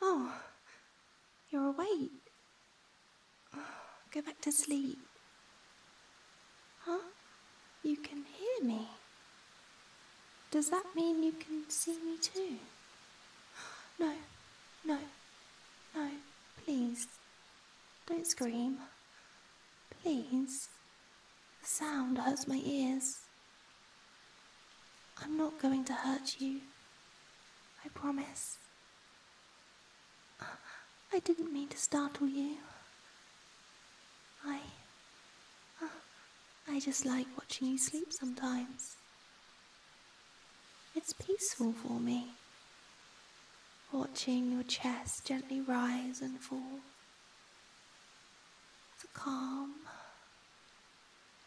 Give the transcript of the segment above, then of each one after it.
Oh, you're awake. go back to sleep. Huh? You can hear me. Does that mean you can see me too? No, no, no, please. Don't scream. Please. The sound hurts my ears. I'm not going to hurt you. I promise. I didn't mean to startle you. I. I just like watching you sleep sometimes. It's peaceful for me watching your chest gently rise and fall. The calm,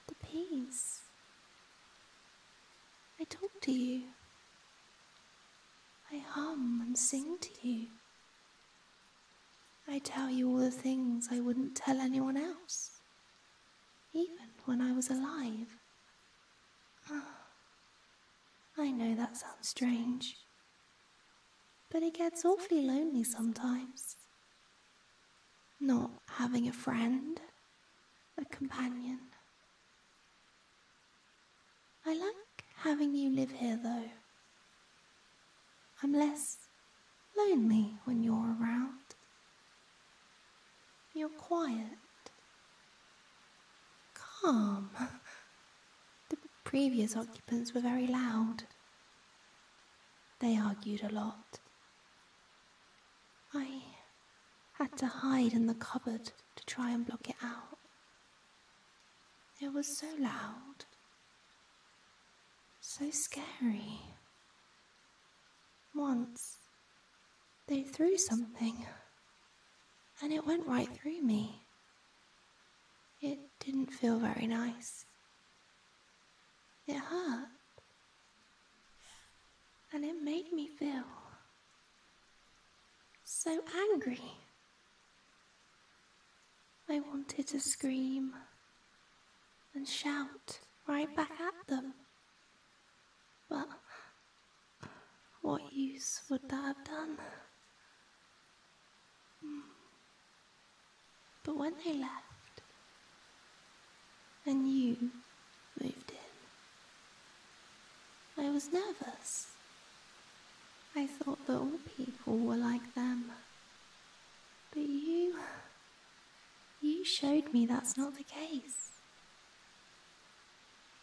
the peace. I talk to you. I hum and sing to you. I tell you all the things I wouldn't tell anyone else, even when I was alive. Ah. I know that sounds strange, but it gets awfully lonely sometimes. Not having a friend, a companion. I like having you live here though. I'm less lonely when you're around. You're quiet, calm. The previous occupants were very loud. They argued a lot. I had to hide in the cupboard to try and block it out. It was so loud, so scary. Once they threw something, and it went right through me. It didn't feel very nice. It hurt, and it made me feel so angry. I wanted to scream and shout right back at them, but what use would that have done? Hmm. But when they left, and you moved in, I was nervous. I thought that all people were like them. But you. you showed me that's not the case.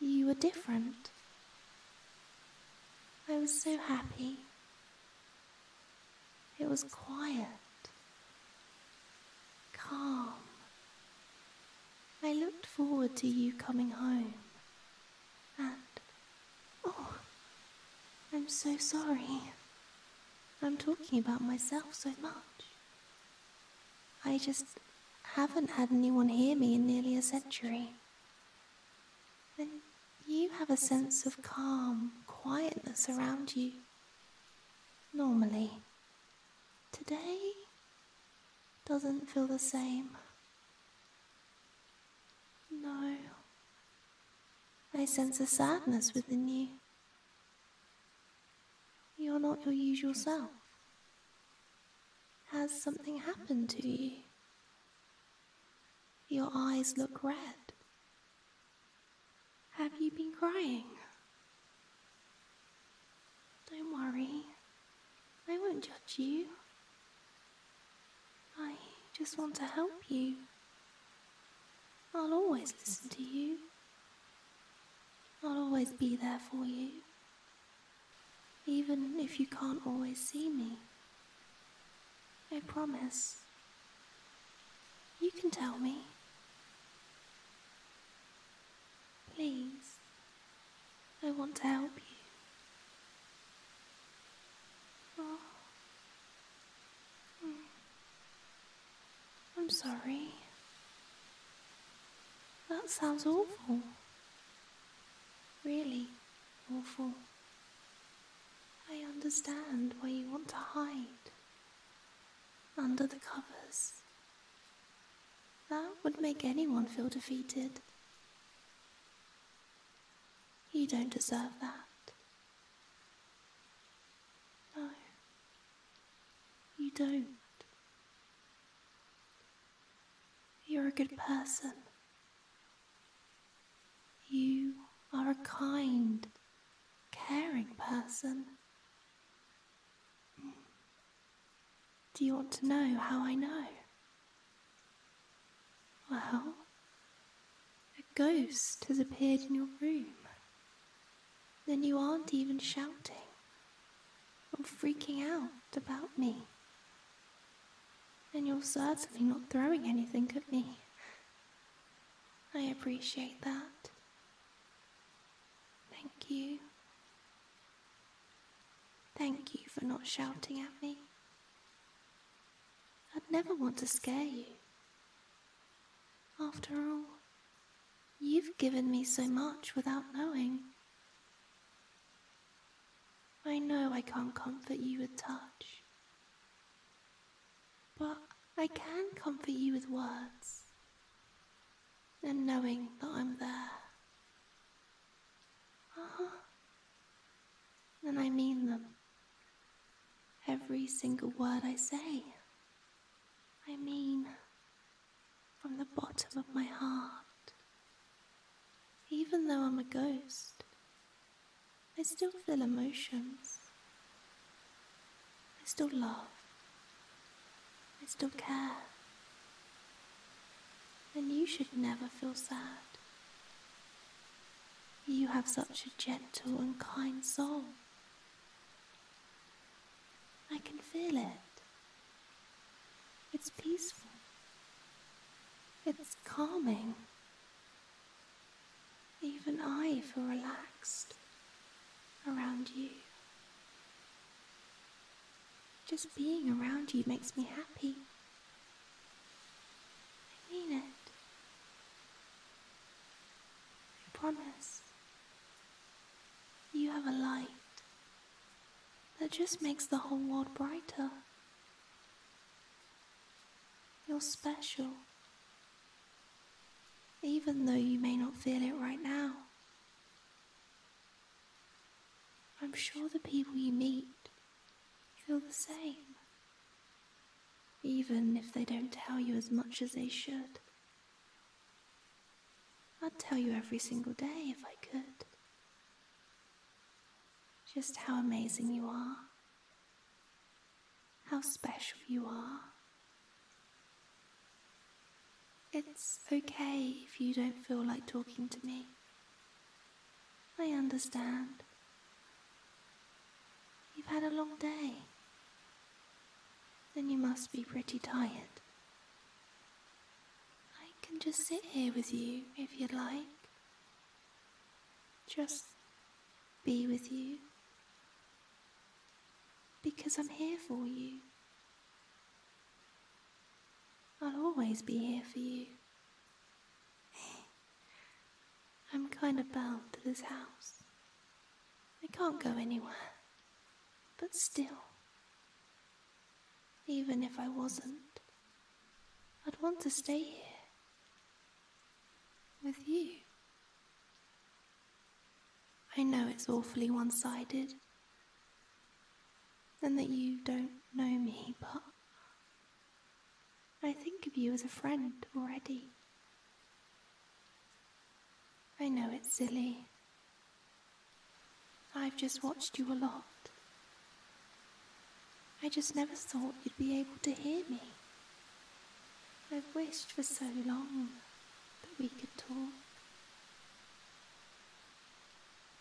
You were different. I was so happy. It was quiet, calm. I looked forward to you coming home. And, oh, I'm so sorry. I'm talking about myself so much. I just haven't had anyone hear me in nearly a century. Then you have a sense of calm, quietness around you. Normally. Today doesn't feel the same. No. I sense a sadness within you. You're not your usual self. Has something happened to you? Your eyes look red. Have you been crying? Don't worry. I won't judge you. I just want to help you. I'll always listen to you I'll always be there for you, even if you can't always see me. I promise. You can tell me. Please, I want to help you. Oh. Mm. I'm sorry. That sounds awful. Really awful. I understand why you want to hide. Under the covers. That would make anyone feel defeated. You don't deserve that. No, you don't. You're a good person. You are a kind, caring person. Do you want to know how I know? Well, a ghost has appeared in your room. Then you aren't even shouting or freaking out about me. And you're certainly not throwing anything at me. I appreciate that. Thank you. Thank you for not shouting at me. I'd never want to scare you after all, you've given me so much without knowing. I know I can't comfort you with touch, but I can comfort you with words and knowing that I'm there. Uh And I mean them every single word I say. I mean, from the bottom of my heart. Even though I'm a ghost, I still feel emotions. I still love. I still care. And you should never feel sad. You have such a gentle and kind soul. I can feel it. It's peaceful. It's calming. Even I feel relaxed around you. Just being around you makes me happy. I mean it. I promise. You have a light that just makes the whole world brighter. You're special, even though you may not feel it right now. I'm sure the people you meet feel the same, even if they don't tell you as much as they should. I'd tell you every single day if I could. Just how amazing you are, how special you are. It's okay if you don't feel like talking to me. I understand. You've had a long day. Then you must be pretty tired. I can just sit here with you if you'd like. Just be with you. Because I'm here for you. I'll always be here for you. I'm kinda bound to this house. I can't go anywhere. But still, even if I wasn't, I'd want to stay here. With you. I know it's awfully one sided and that you don't know me, but I think of you as a friend already. I know it's silly. I've just watched you a lot. I just never thought you'd be able to hear me. I've wished for so long that we could talk.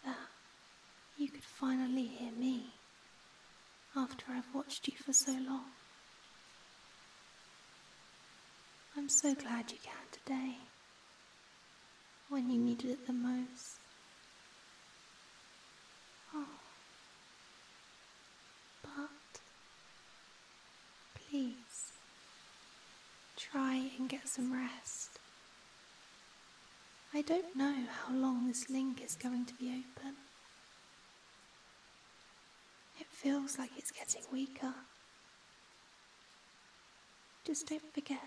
That ah you could finally hear me after I've watched you for so long. I'm so glad you can today, when you needed it the most. Oh. But, please, try and get some rest. I don't know how long this link is going to be open. It feels like it's getting weaker. Just don't forget.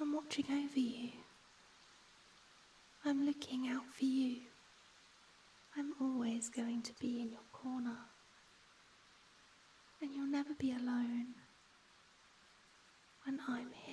I'm watching over you. I'm looking out for you. I'm always going to be in your corner. And you'll never be alone when I'm here.